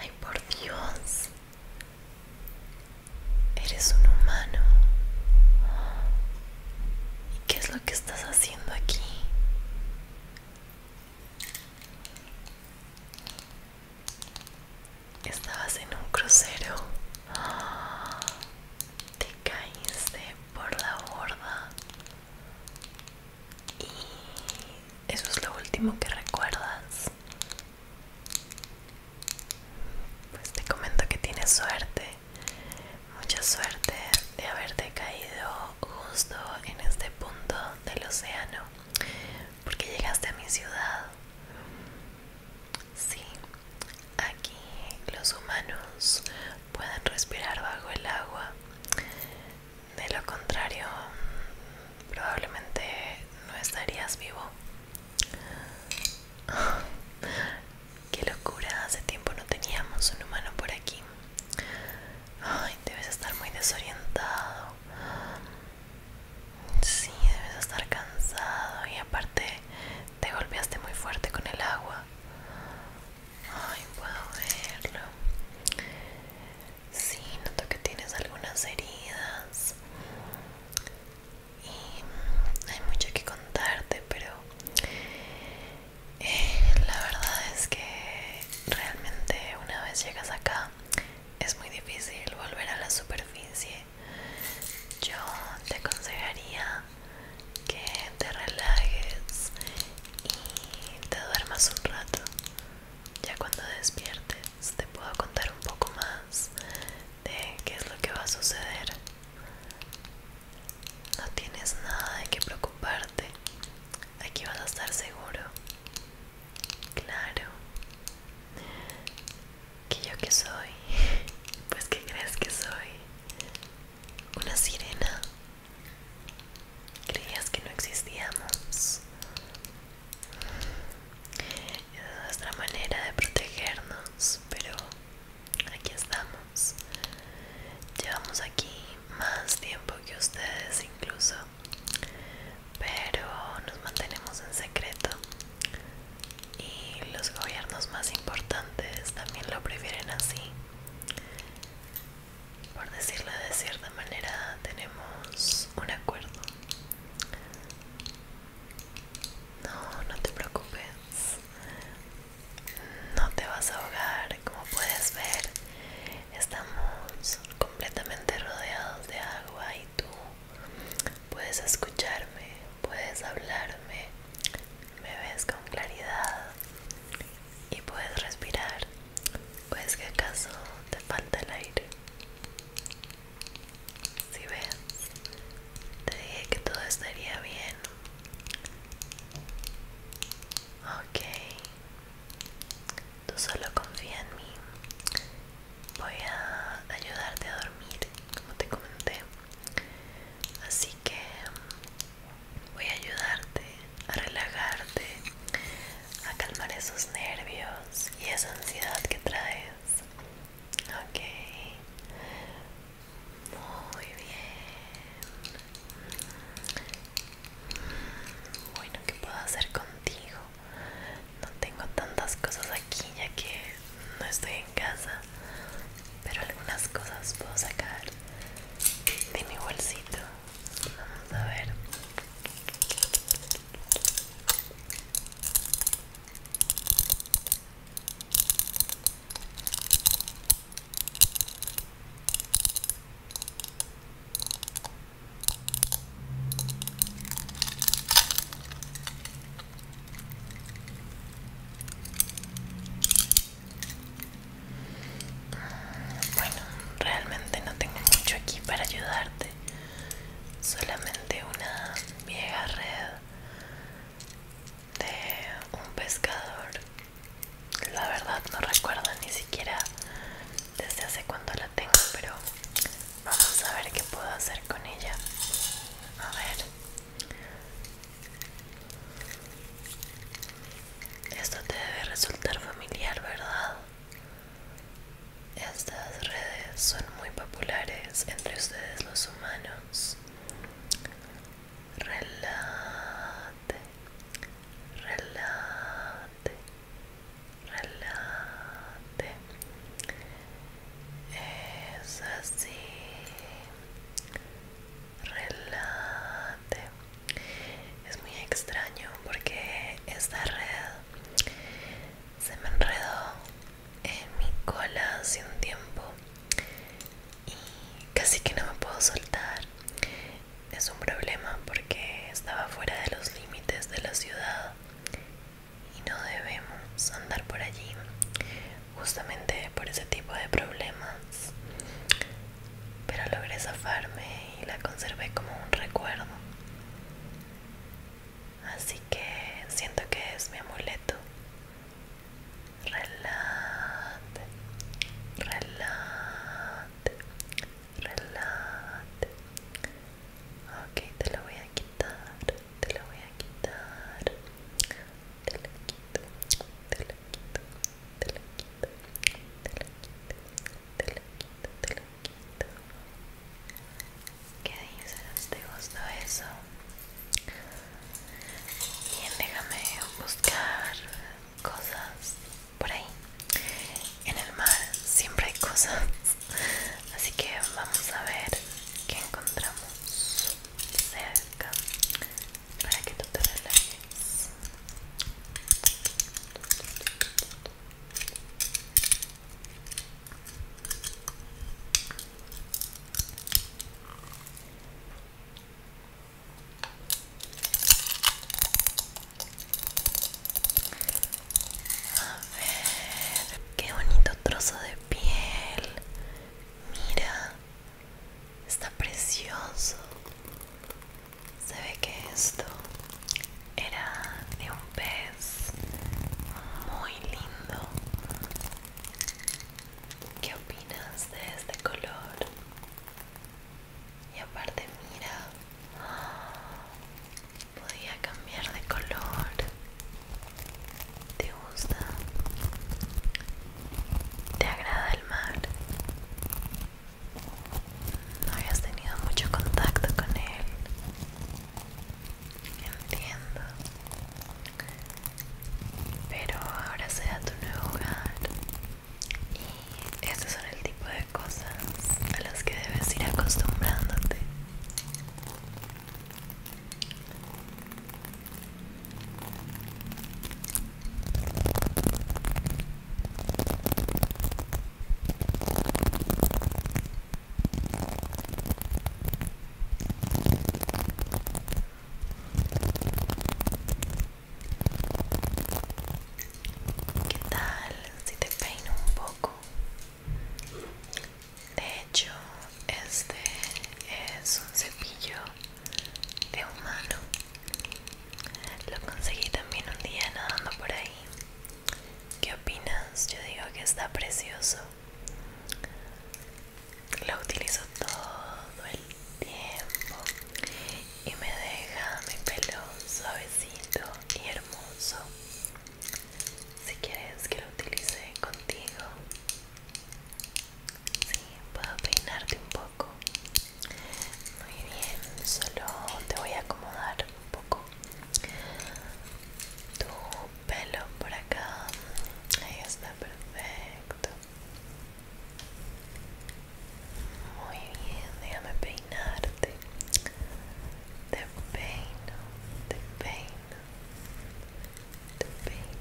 Ay, por Dios. Eres un humano. ¿Y qué es lo que estás haciendo aquí? Estabas en un crucero. Te caíste por la borda y eso es lo último que recuerdas pues te comento que tienes suerte mucha suerte de haberte caído justo en este punto del océano porque llegaste a mi ciudad sí aquí los humanos pueden respirar bajo el agua de lo contrario, probablemente no estarías vivo. Qué locura, hace tiempo no teníamos un humano por aquí. Ay, debes estar muy desorientado. Sí, debes estar cansado y aparte te golpeaste muy fuerte con el agua. Ay, puedo verlo. Sí, noto que tienes algunas heridas y mm, hay mucho que contarte, pero eh, la verdad es que realmente una vez llegas acá es muy difícil volver a la superficie. Yo te aconsejaría que te relajes y te duermas un rato. Ya cuando despiertes te puedo contar un poco más de qué es lo que va a suceder. No tienes nada de qué preocuparte. Aquí vas a estar seguro. Claro. ¿Que yo pues, qué soy? Pues que crees que soy una sirena. Creías que no existíamos. es nuestra manera de protegernos, pero aquí estamos. Llevamos aquí más tiempo que ustedes incluso, pero nos mantenemos en secreto. Y los gobiernos más importantes también lo prefieren así por decirlo de cierta manera, tenemos un acuerdo. No, no te preocupes. No te vas a ahogar, como puedes ver. Estamos completamente rodeados de agua y tú puedes escucharme, puedes hablarme, me ves con claridad y puedes respirar. ¿Pues que acaso te falta el aire? Si ves, te dije que todo estaría bien. Ok, tú solo confía en mí. Voy a ayudarte a dormir, como te comenté. Así que voy a ayudarte a relajarte, a calmar esos nervios y esa ansiedad que traes. Ok. Muy bien. Bueno, ¿qué puedo hacer contigo? No tengo tantas cosas aquí ya que no estoy en casa, pero algunas cosas puedo sacar de mi bolsito a ver. Bueno, realmente no tengo mucho aquí para ayudarte solamente una vieja red de un pescador la verdad no recuerdo ni siquiera desde hace cuánto la tengo pero vamos a ver qué puedo hacer con ella a ver esto te debe resultar familiar verdad estas redes son muy populares entre ustedes los humanos. Relate, relate, relate. Es así. Relate es muy extraño porque esta red se me enredó en mi cola hace un tiempo y casi que no me puedo soltar es un problema porque estaba fuera de los límites de la ciudad y no debemos andar por allí justamente por ese tipo de problemas pero logré zafarme y la conservé como un recuerdo Así que siento que es mi amuleto. Relate, relate, relate. Ok, te lo voy a quitar, te lo voy a quitar. Te lo quito, te lo quito, te lo quito, te lo quito, te lo quito, te lo quito. ¿Qué dices? ¿Te gustó eso? Bien, déjame buscar cosas por ahí. En el mar siempre hay cosas, así que vamos a ver qué encontramos cerca para que tú te relajes. A ver, qué bonito trozo de piel. Mira, está precioso se ve que esto era de un pez muy lindo. ¿Qué opinas de este color? Y aparte mira, podía cambiar de color. ¿Te gusta? ¿Te agrada el mar? no habías tenido mucho contacto con él. Entiendo. Pero ahora sea tu nuevo hogar. Y estos son el tipo de cosas a las que debes ir acostumbrándote. ¿Qué tal si te peino un poco? De hecho, este es un cepillo de humano. Lo conseguí también un día nadando por ahí ¿Qué opinas? Yo digo que está precioso. Lo utilizo todo el tiempo y me deja mi pelo suavecito y hermoso. Si quieres que lo utilice contigo, sí, puedo peinarte un poco. Muy bien, solo te voy a acomodar un poco tu pelo por acá ahí está perfecto muy bien déjame peinarte te peino te peino te peino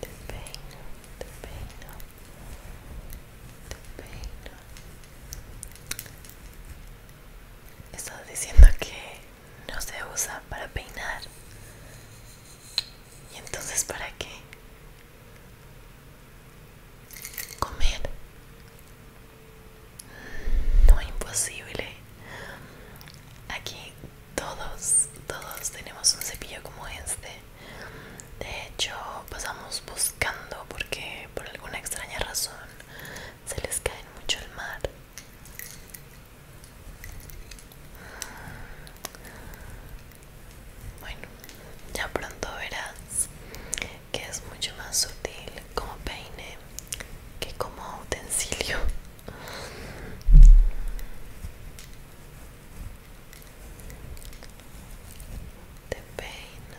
te peino te peino te peino Estás diciendo que no se usa para peinar. ¿Y entonces para qué? Comer. Mm, no, es imposible. Aquí todos, todos tenemos un cepillo como este. De hecho, pasamos buscando porque por alguna extraña razón se les cae mucho al mar. Mm. Bueno, ya pronto verás que es mucho más sutil como peine que como utensilio. de peino,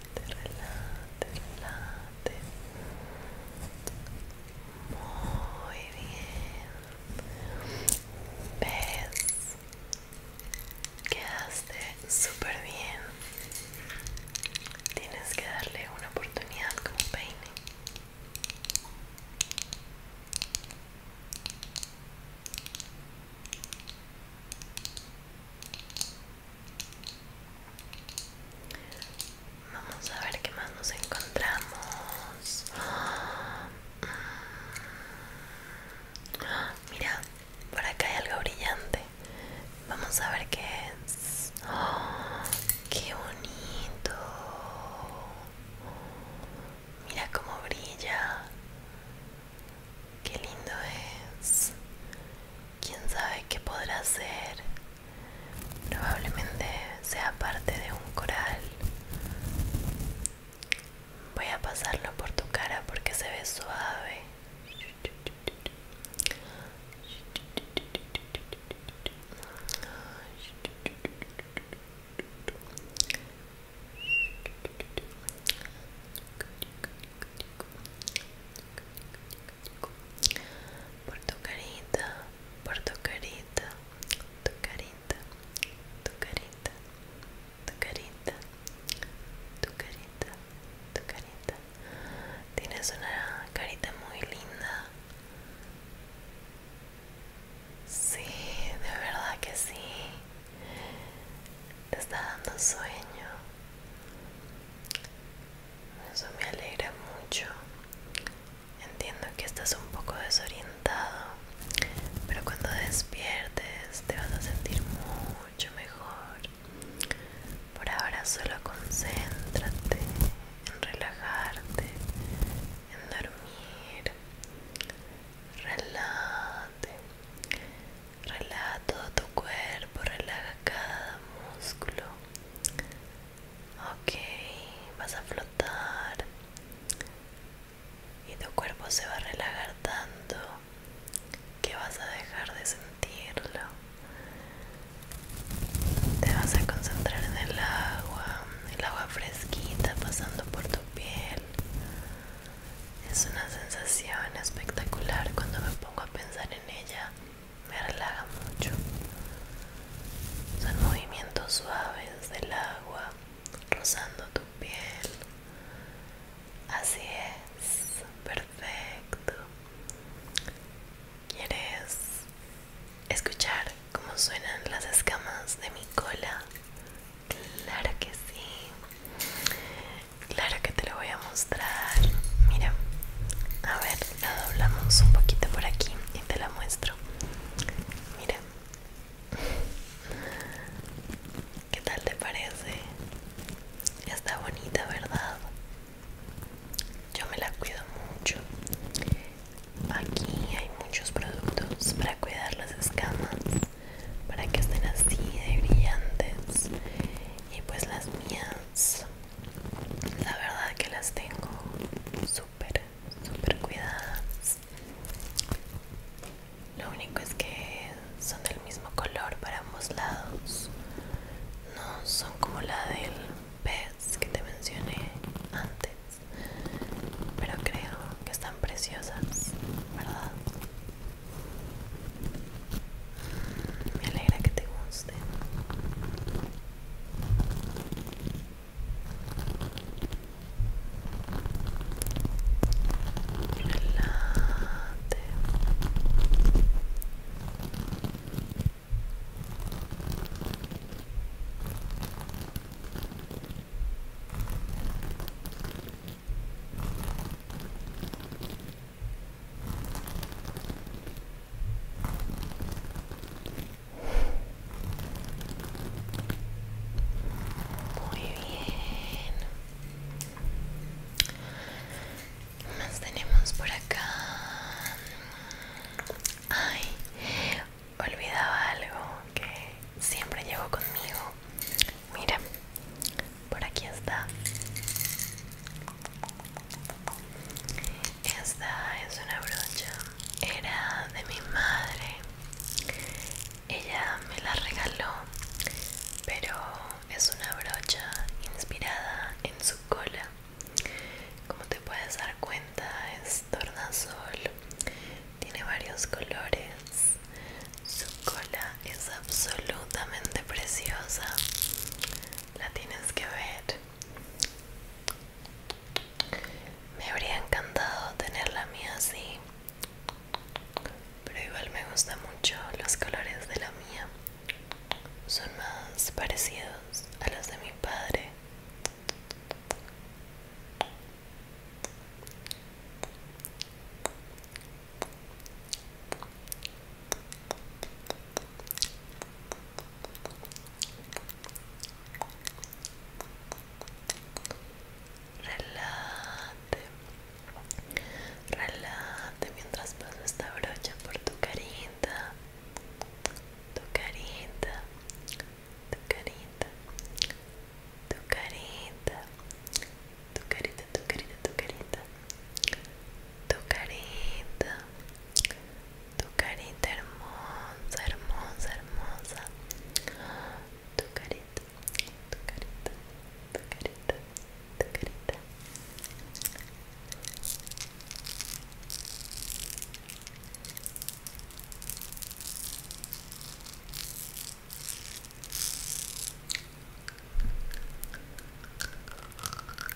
Relate, relate, Muy bien. ¿Ves? Quedaste súper bien. Tienes que darle una oportunidad como peine. Vamos a ver qué más nos encontramos. Mira, por acá hay algo brillante. Vamos a ver qué es. ¡Qué bonito! Mira cómo brilla. Qué lindo es. Quién sabe qué podrá ser. Probablemente sea parte de un coral. Voy a pasarlo por tu cara porque se ve suave por tu carita, por tu carita, tu carita, tu carita, tu carita, tu carita, tu carita. Tienes una carita muy linda. Sí, de verdad que sí. Te está dando sueño. Eso me alegra mucho. Entiendo que estás un poco desorientado, pero cuando despiertes te vas a sentir mucho mejor. Por ahora solo concéntrate en relajarte, en dormir. Relate. Relaja todo tu cuerpo, relaja cada músculo. Ok, vas a flotar y tu cuerpo se va a relajar tanto que vas a dejar de sentirlo. Te vas a concentrar en el agua, el agua fresquita pasando por tu piel. Es una sensación espectacular cuando me pongo a pensar en en ella me relaja mucho. Son movimientos suaves del agua rozando tu piel. Así es, perfecto. ¿Quieres escuchar cómo suenan las escamas de mi cola? Claro que sí. Claro que te lo voy a mostrar. Mira, a ver, la doblamos un poquito por aquí y te la muestro. Mira, ¿qué tal te parece? Está bonita, ¿verdad? Yo me la cuido mucho. Aquí hay muchos productos para cuidar las escamas, para que estén así de brillantes. Y pues las mías la verdad que las tengo súper súper cuidadas lo único es que son del mismo color para ambos lados no son como la del pez que te mencioné antes pero creo que están preciosas verdad me alegra que te guste. Muy bien. ¿Qué más tenemos por acá? Ay, olvidaba algo que siempre llevo conmigo. Mira, por aquí está esta es una brocha era de mi madre ella me la regaló pero es una brocha inspirada en su cola como te puedes dar cuenta es tornasol tiene varios colores su cola es absolutamente preciosa la tienes que ver me habría encantado tener la mía así pero igual me gustan mucho los colores de la mía son más parecidos a los de mi padre Relate, relate mientras paso esta brocha por tu carita, tu carita, tu carita, tu carita, tu carita, tu carita, tu carita, tu carita, tu carita hermosa, hermosa, hermosa, tu carita, tu carita, tu carita, tu carita.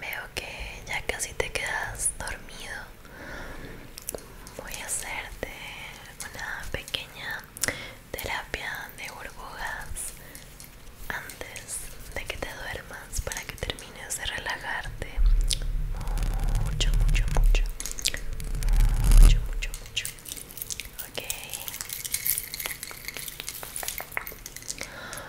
Veo que ya casi te quedas dormido. Voy a hacerte una pequeña terapia de burbujas antes de que te duermas para que termines de relajarte mucho, mucho, mucho, mucho, mucho, mucho. Ok.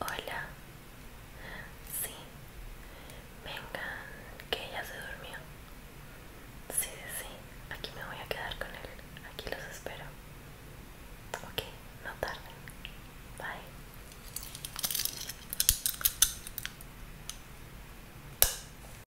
Hola. Sí. Vengan, que ella se durmió. Sí, sí, aquí me voy a quedar con él. Aquí los espero. Ok, no tarden. Bye.